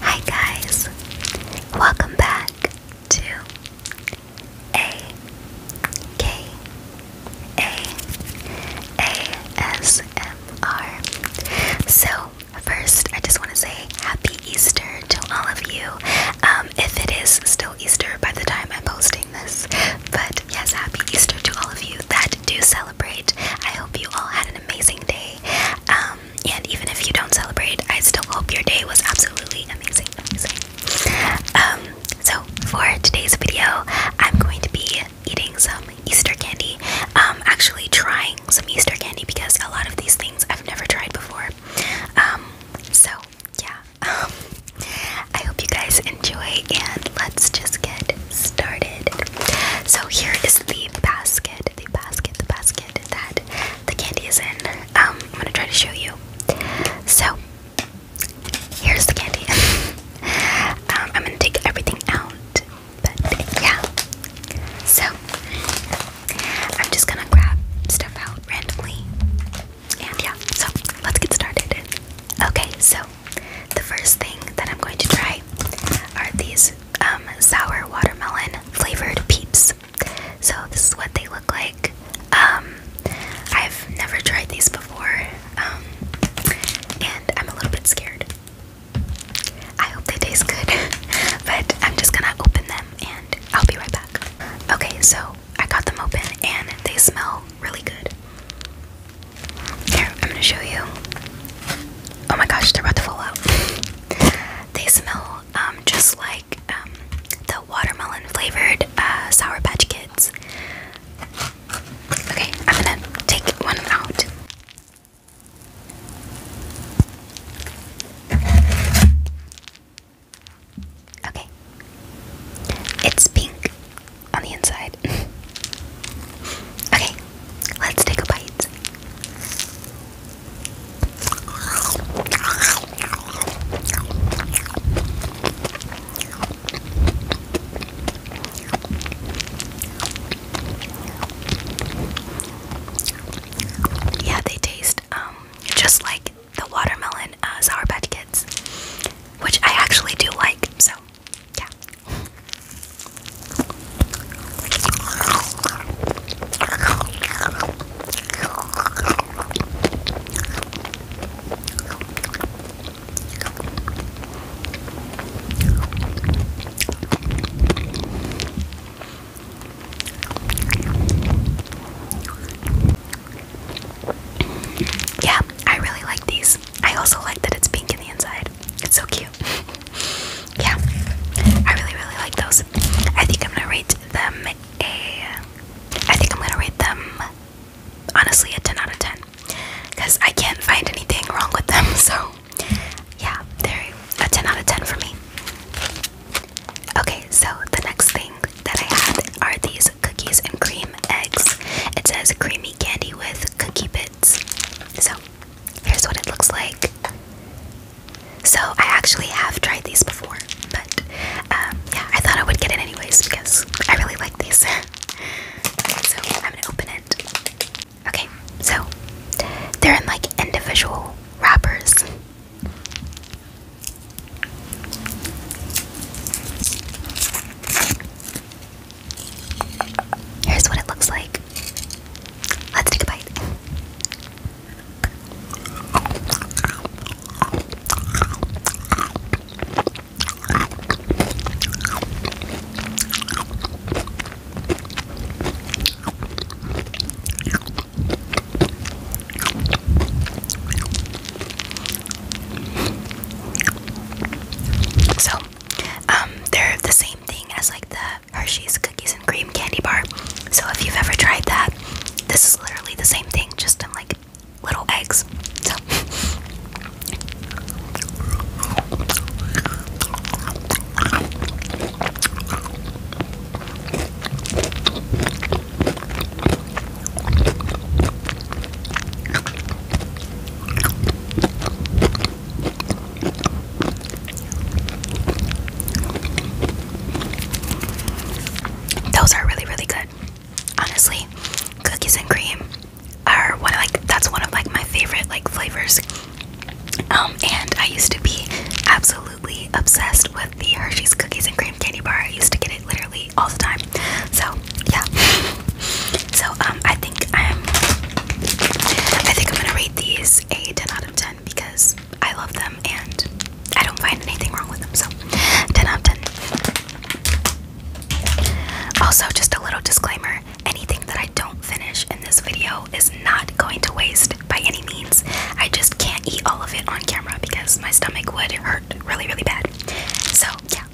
Hi guys, welcome back to A K A A S M R. So first, I just want to say Happy Easter to all of you. Um, if it is still Easter by the time I'm posting this, but yes, Happy Easter to all of you that that do celebrate. I hope you all had an amazing day. Um, and even if you don't celebrate, I still hope your day was absolutely amazing. Um, so, for today's video, I'm going to be eating some Easter candy. Um, actually, trying some Easter candy because a lot of these things I've never tried before. Um, so, yeah. I hope you guys and let's just get started. So here is the basket, the basket, the basket that the candy is in. Um, I'm gonna try to show you. So here's the candy. um, I'm gonna take everything out, but yeah. So I'm just gonna grab stuff out randomly. And yeah, so let's get started. Okay, so the first thing that I'm going to try are these um, sour watermelon flavored peeps. So, this is what they look like. Um, I've never tried these before, um, and I'm a little bit scared. I hope they taste good, but I'm just gonna open them and I'll be right back. Okay, so I got them open and they smell really good. Here, I'm gonna show you. Oh my gosh, they're about to fall out. they smell um, just like um, the watermelon flavored uh, Sour Patch Kids. Okay, I'm gonna take one out. Okay. It's pink on the inside. okay, let's take a bite. Yeah, they taste um, just like the watermelon uh, sour patch kids, which I actually do like. So yeah. Yeah, I really like these. I also like that it's pink in the inside. It's so cute. yeah, I really, really like those. I think I'm gonna rate them a. I think I'm gonna rate them honestly a 10 out of 10 because I can't find anything wrong with them. So yeah, they're a 10 out of 10 for me. Okay, so the next thing that I had are these cookies and cream eggs. It says creamy candy with cookie bits. So here's what it looks like. So I actually have tried these before, but um, yeah, I thought I would get it anyways because I really like these. so I'm gonna open it. Okay, so they're in like individual wrappers. Here's what it looks like. Let's take a bite. So, um, they're the same thing as like the Hershey's cookies and cream candy bar. So if you've ever tried that, this is literally the same thing, just in like little eggs. So. Those are really, really good. Honestly, cookies and cream are one of like that's one of like my favorite like flavors. Um, and I used to be absolutely obsessed with the Hershey's cookies and cream candy bar. I used to get it literally all the time. So yeah. So um, I think I'm. I think I'm gonna rate these a 10 out of 10 because I love them and I don't find anything wrong with them. So 10 out of 10. Also, just a little disclaimer: anything that I don't finish in this video is not going to waste by any means. I just can't eat all of it on camera because my stomach would hurt really, really bad. So yeah,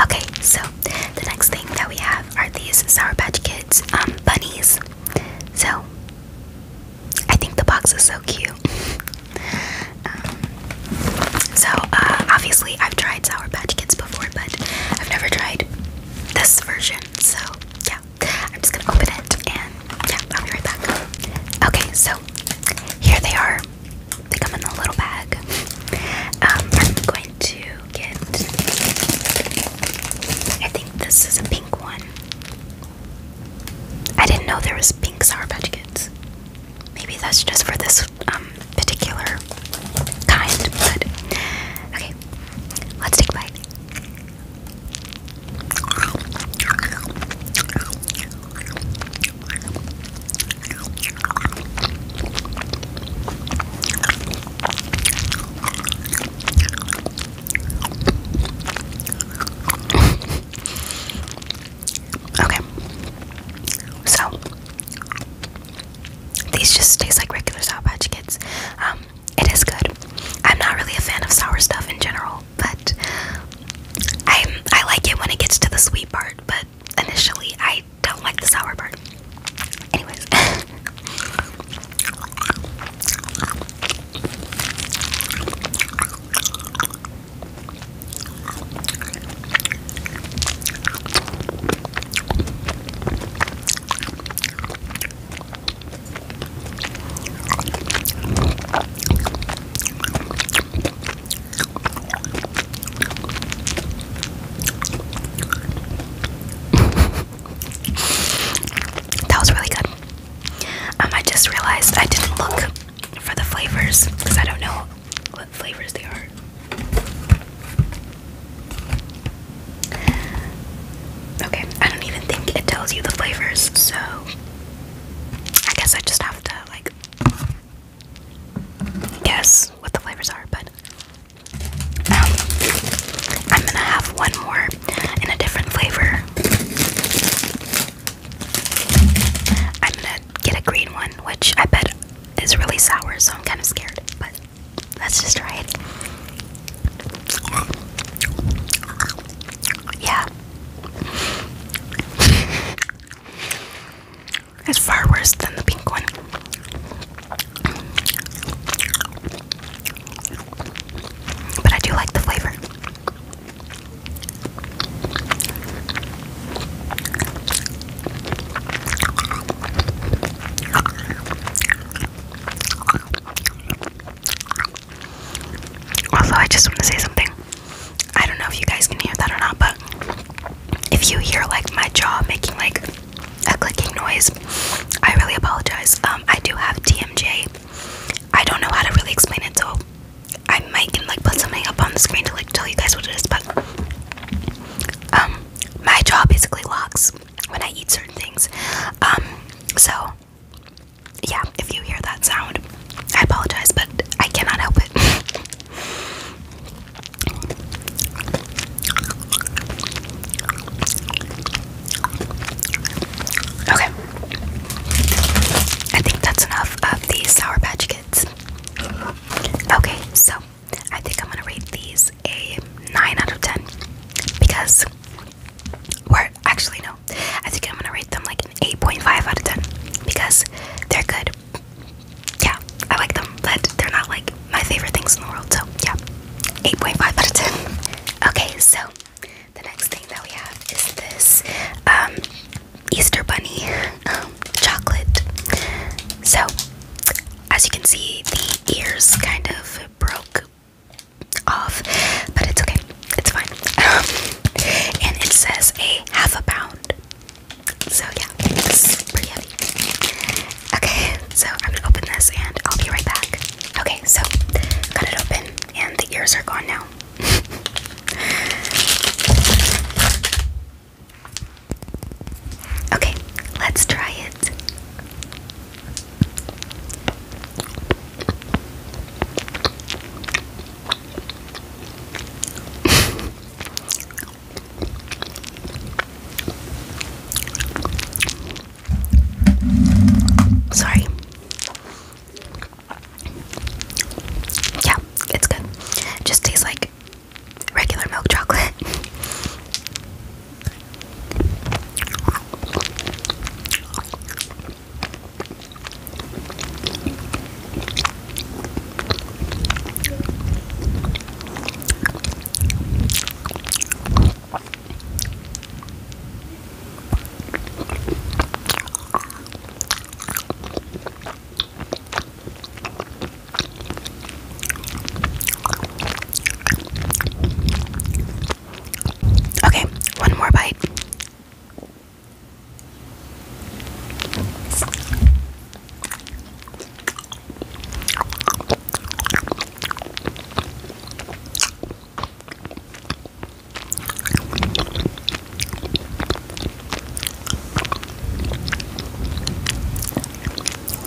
Okay, so the next thing that we have are these Sour Patch Kids um, bunnies. So I think the box is so cute. Um, so uh, obviously I've tried Sour Patch Kids before, but I've never tried this version. So yeah, I'm just gonna open it and yeah, I'll be right back. Okay, so here they are. They come in a little bag. Um, I'm going to get. I think this is a pink one. I didn't know there was pink Sour Patch Maybe that's just for this um, particular kind. But okay, let's take a bite okay. So these just taste like regular Sour Patch Kids. Um, it is good. I'm not really a fan of sour stuff in general, but I I like it when it gets to the sweet part. But initially I don't like the sour part. Anyways that was really good. Um, I just realized I didn't look for the flavors because I don't know what flavors they are. Okay, I don't even think it tells you the flavors, so I guess I just have to like guess what the flavors are, but I'm gonna have one more in a different flavor. I'm gonna get a green one, which I bet is really sour, so I'm kind of scared, but let's just try it. Yeah. It's far worse than the pink one. But I do like the flavor. Also, I just want to say something. I don't know if you guys can hear that or not, but if you hear like my jaw making like a clicking noise, I really apologize. Um, I do have TMJ. I don't know how to really explain it, so I might can like put something up on the screen to like tell you guys what it is. But um, my jaw basically locks when I eat certain things. Um, so yeah, if you hear that sound, I apologize, but I cannot help it. Okay. I think that's enough of the Sour Patch Kids. Okay, so I think I'm gonna rate these a 9 out of 10 because we're actually no, I think I'm gonna rate them like an 8.5 out of 10 because they're good yeah, I like them, but they're not like my favorite things in the world. So yeah, 8.5 out of 10. Okay, so the next thing that we have is this um, Easter Bunny um, chocolate. So as you can see, the ears kind of broke off, but it's okay. It's fine. Um, and it says a half a pound so yeah, Okay, so I'm gonna open this and I'll be right back. Okay, so got it open and the ears are gone now. okay, let's try it. Sorry. Yeah, it's good. just tastes like regular milk chocolate. Okay, one more bite.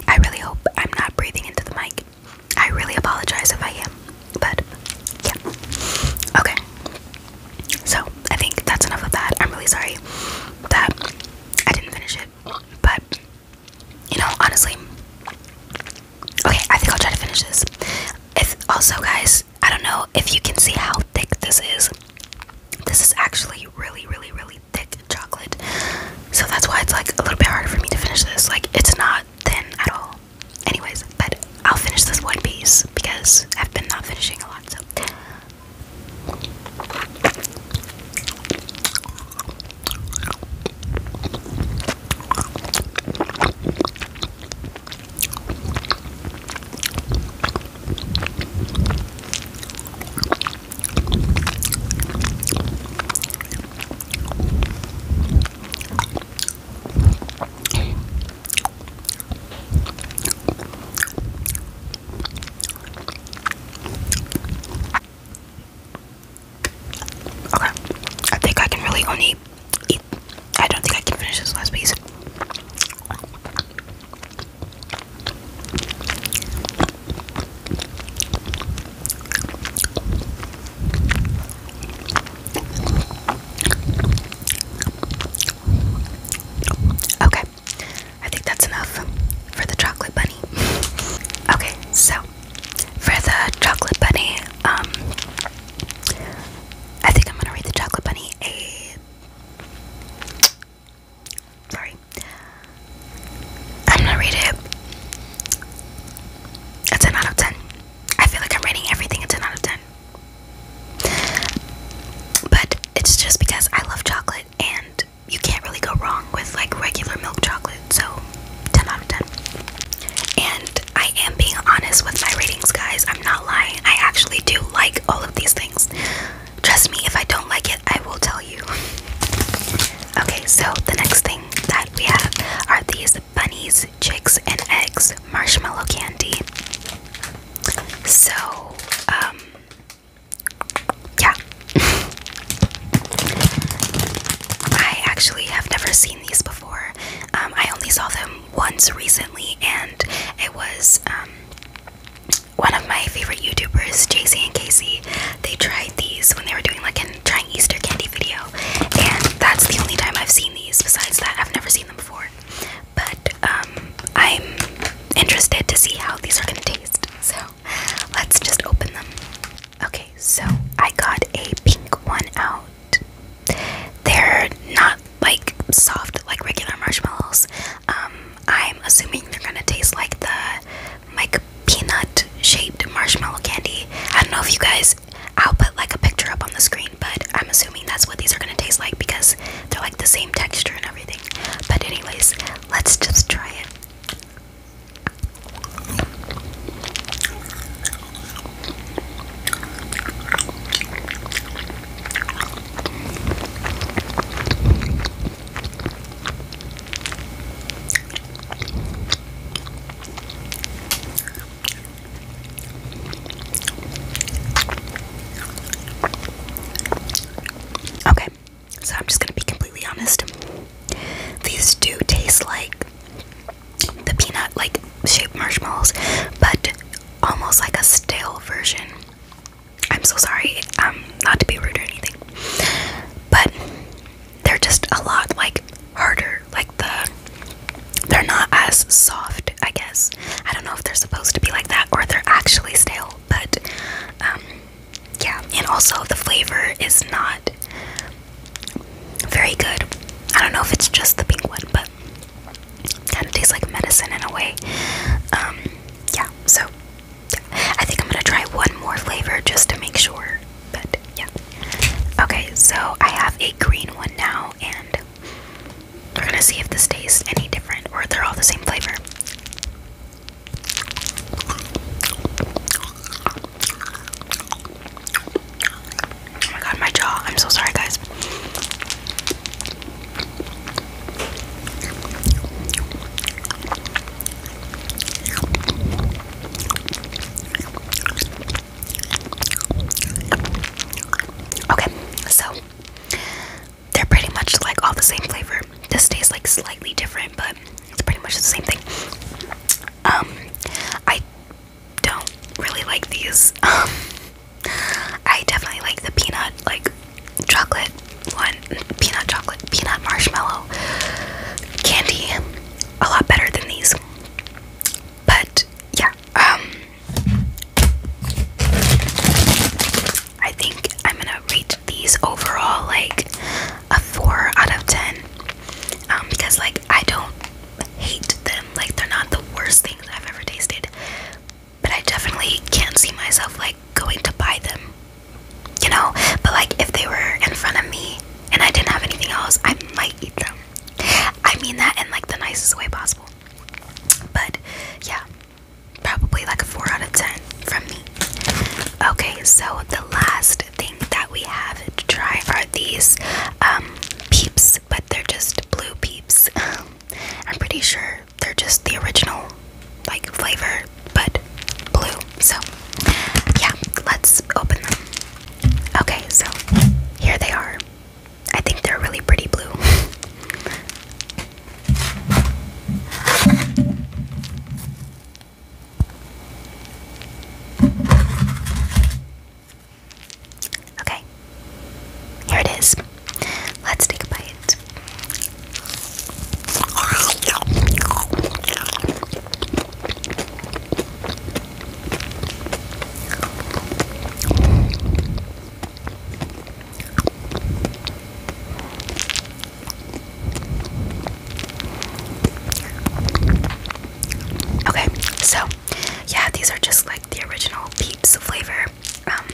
I really hope I'm not breathing into the mic. I really apologize if I am, but yeah. Okay. So I think that's enough of that. I'm really sorry that I didn't finish it, but you know, honestly, okay, I think I'll try to finish this. If also, guys, I don't know if you can see how thick this is. This is actually really, really, really thick chocolate, so that's why it's like a little bit harder for me to finish this. Like, it's not thin at all. Anyways, but I'll finish this one piece because I've been not finishing a lot, so. Okay, I think I can really only eat. I don't think I can finish this last piece. Okay, I think that's enough for the chocolate bunny. Okay, so for the chocolate bunny, um, I think I'm gonna read the chocolate bunny a. Sorry, I'm gonna read it a 10 out of 10. I feel like I'm rating everything a 10 out of 10. But it's just because I love chocolate and you can't really go wrong with like regular milk chocolate, so 10 out of 10. And I am being honest with my ratings, guys. I'm not lying. I actually do like all of these things. Trust me, if I don't like it, I will tell you. Okay, so the next thing that we have are these bunnies, chicks, and eggs marshmallow candy. So, um, yeah. I actually have never seen these before. Um, I only saw them once recently, and it was um, one of my favorite YouTubers, JC and Casey. They tried these when they were doing like a trying Easter candy video, and that's the only time I've seen these. Besides that, I've never seen them before. But um, I'm interested to see how these are gonna taste. So let's just open them. Okay, so I got a pink one out. They're not like soft like regular marshmallows. Um, I'm assuming they're gonna taste like the like peanut shaped marshmallow candy. I don't know if you guys I'll put like a picture up on the screen, but I'm assuming that's what these are gonna taste like because they're like the same texture and everything. But, anyways, let's just try it. Okay, so I'm just gonna be completely honest. These do taste like the peanut like shaped marshmallows, but almost like a stale version. I'm so sorry, um, not to be rude or anything, but they're just a lot like harder like the they're not as soft, I guess. I don't know if they're supposed to be like that or they're actually stale, but um, yeah, and also the flavor is not very good. I don't know if it's just the pink one, but kind of tastes like medicine in a way. Um, yeah, so I think I'm gonna try one more flavor just to make sure, but yeah. Okay, so I have a green one now, and we're gonna see if this tastes any different or if they're all the same flavor. Oh my god, my jaw. I'm so sorry, guys. Okay, so they're pretty much like all the same flavor. This tastes like slightly different, but it's pretty much the same thing. Um, I don't really like these. Um, I definitely like the peanut, like chocolate one, peanut chocolate, peanut marshmallow candy a lot better than these. But yeah, um I think I'm gonna rate these overall like a four out of ten. Um, because like I don't hate them. Like they're not the worst things I've ever tasted. But I definitely can't see myself like going to buy them. You know? But like if they were in front of me and I didn't have anything else, I might eat them. I mean that in like the nicest way possible. But yeah, probably like a 4 out of 10 from me. Okay, so the last thing that we have to try are these um, peeps, but they're just blue peeps. I'm pretty sure they're just the original like flavor, but blue. So yeah, let's open them. Okay, so here they are. I think they're really pretty blue. okay, here it is. Let's take a bite. Okay, so yeah, these are just like the original Peeps flavor. Um,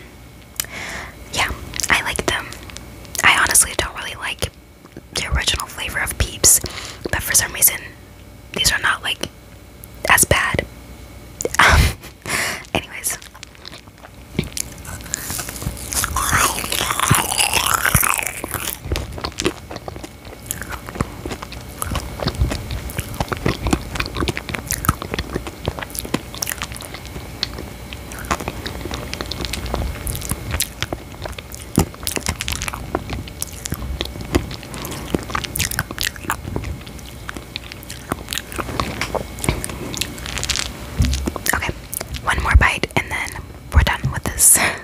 yeah, I like them. I honestly don't really like the original flavor of Peeps, but for some reason, these are not like that's bad. Um, anyways. Okay, one more bite and then we're done with this.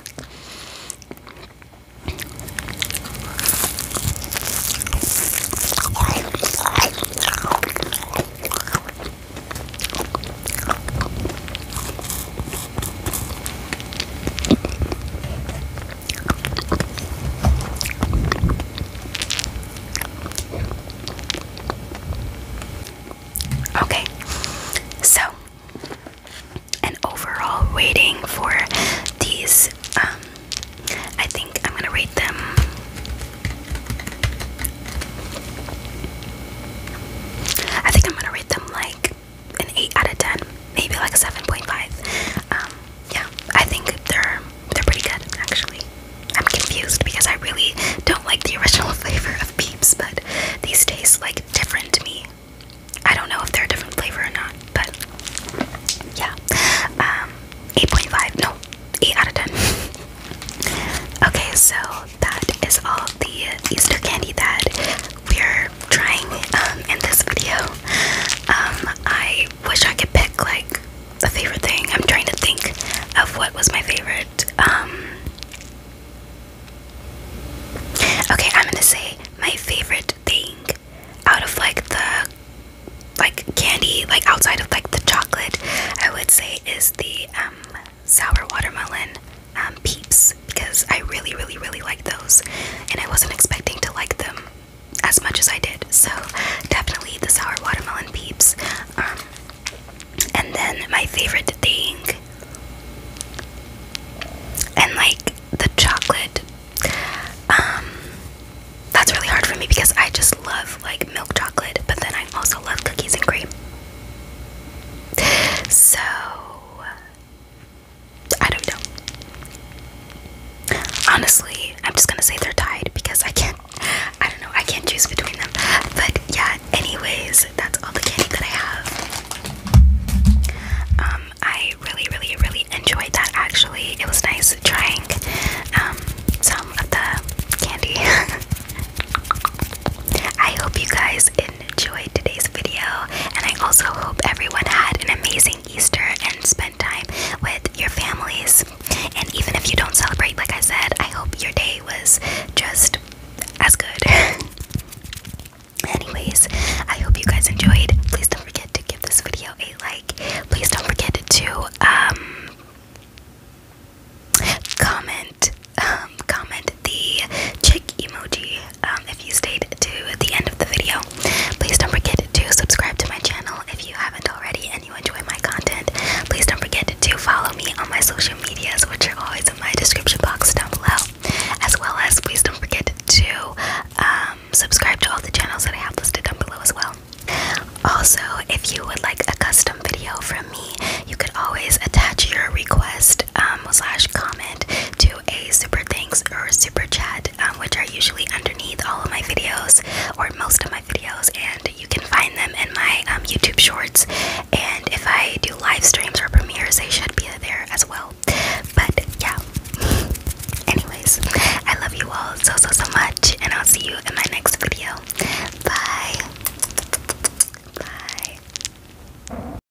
Okay, so an overall rating for these, um, I think I'm gonna rate them. I think I'm gonna rate them like an 8 out of 10, maybe like a 7.5. Um, yeah, I think they're they're pretty good actually. I'm confused because I really don't like the original flavor of Peeps, but these taste like different to me. I don't know if they're a different flavor or not, but yeah. Um, 8.5, no, 8 out of 10. okay, so that is all the Easter candy that we're trying um, in this video. Um, I wish I could pick like a favorite thing. I'm trying to think of what was my favorite. Um, okay, I'm gonna say my favorite thing out of like the like candy, like outside of like the chocolate, I would say is the um, sour watermelon. Um, peeps because I really, really, really like those, and I wasn't expecting to like them as much as I did. So definitely the sour watermelon peeps. Um, and then my favorite thing, and like the chocolate. Um, that's really hard for me because I just love like milk chocolate, but then I also love cookies and cream. So I don't know. Honestly, I'm just gonna say they're tied because I can't. I don't know. I can't choose between them. But yeah. Anyways, that's all the candy that I have. Um, I really, really, really enjoyed that. Actually, it was nice trying um some of the candy. I hope you guys Enjoy today's video, and I also hope everyone had an amazing Easter and spent time with your families. And even if you don't celebrate, like I said, I hope your day was just as good. Anyways, I hope you guys enjoyed. Please don't forget to give this video a like. Please don't forget to um, comment um, comment the chick emoji um, if you stayed to the end of the video, please don't forget to subscribe to my channel if you haven't already and you enjoy my content. Please don't forget to follow me on my social medias, which are always in my description box down below. As well as, please don't forget to um, subscribe to all the channels that I have listed down below as well. Also, if you would like a custom video from me, you could always attach your request um, slash comment to a super thanks or super chat, um, which are usually underneath all of my videos or most of my videos, and you can find them in my um, YouTube shorts. And if I do live streams or premieres, they should be there as well. But yeah, anyways, I love you all so so so much, and I'll see you in my next video. Bye. Bye.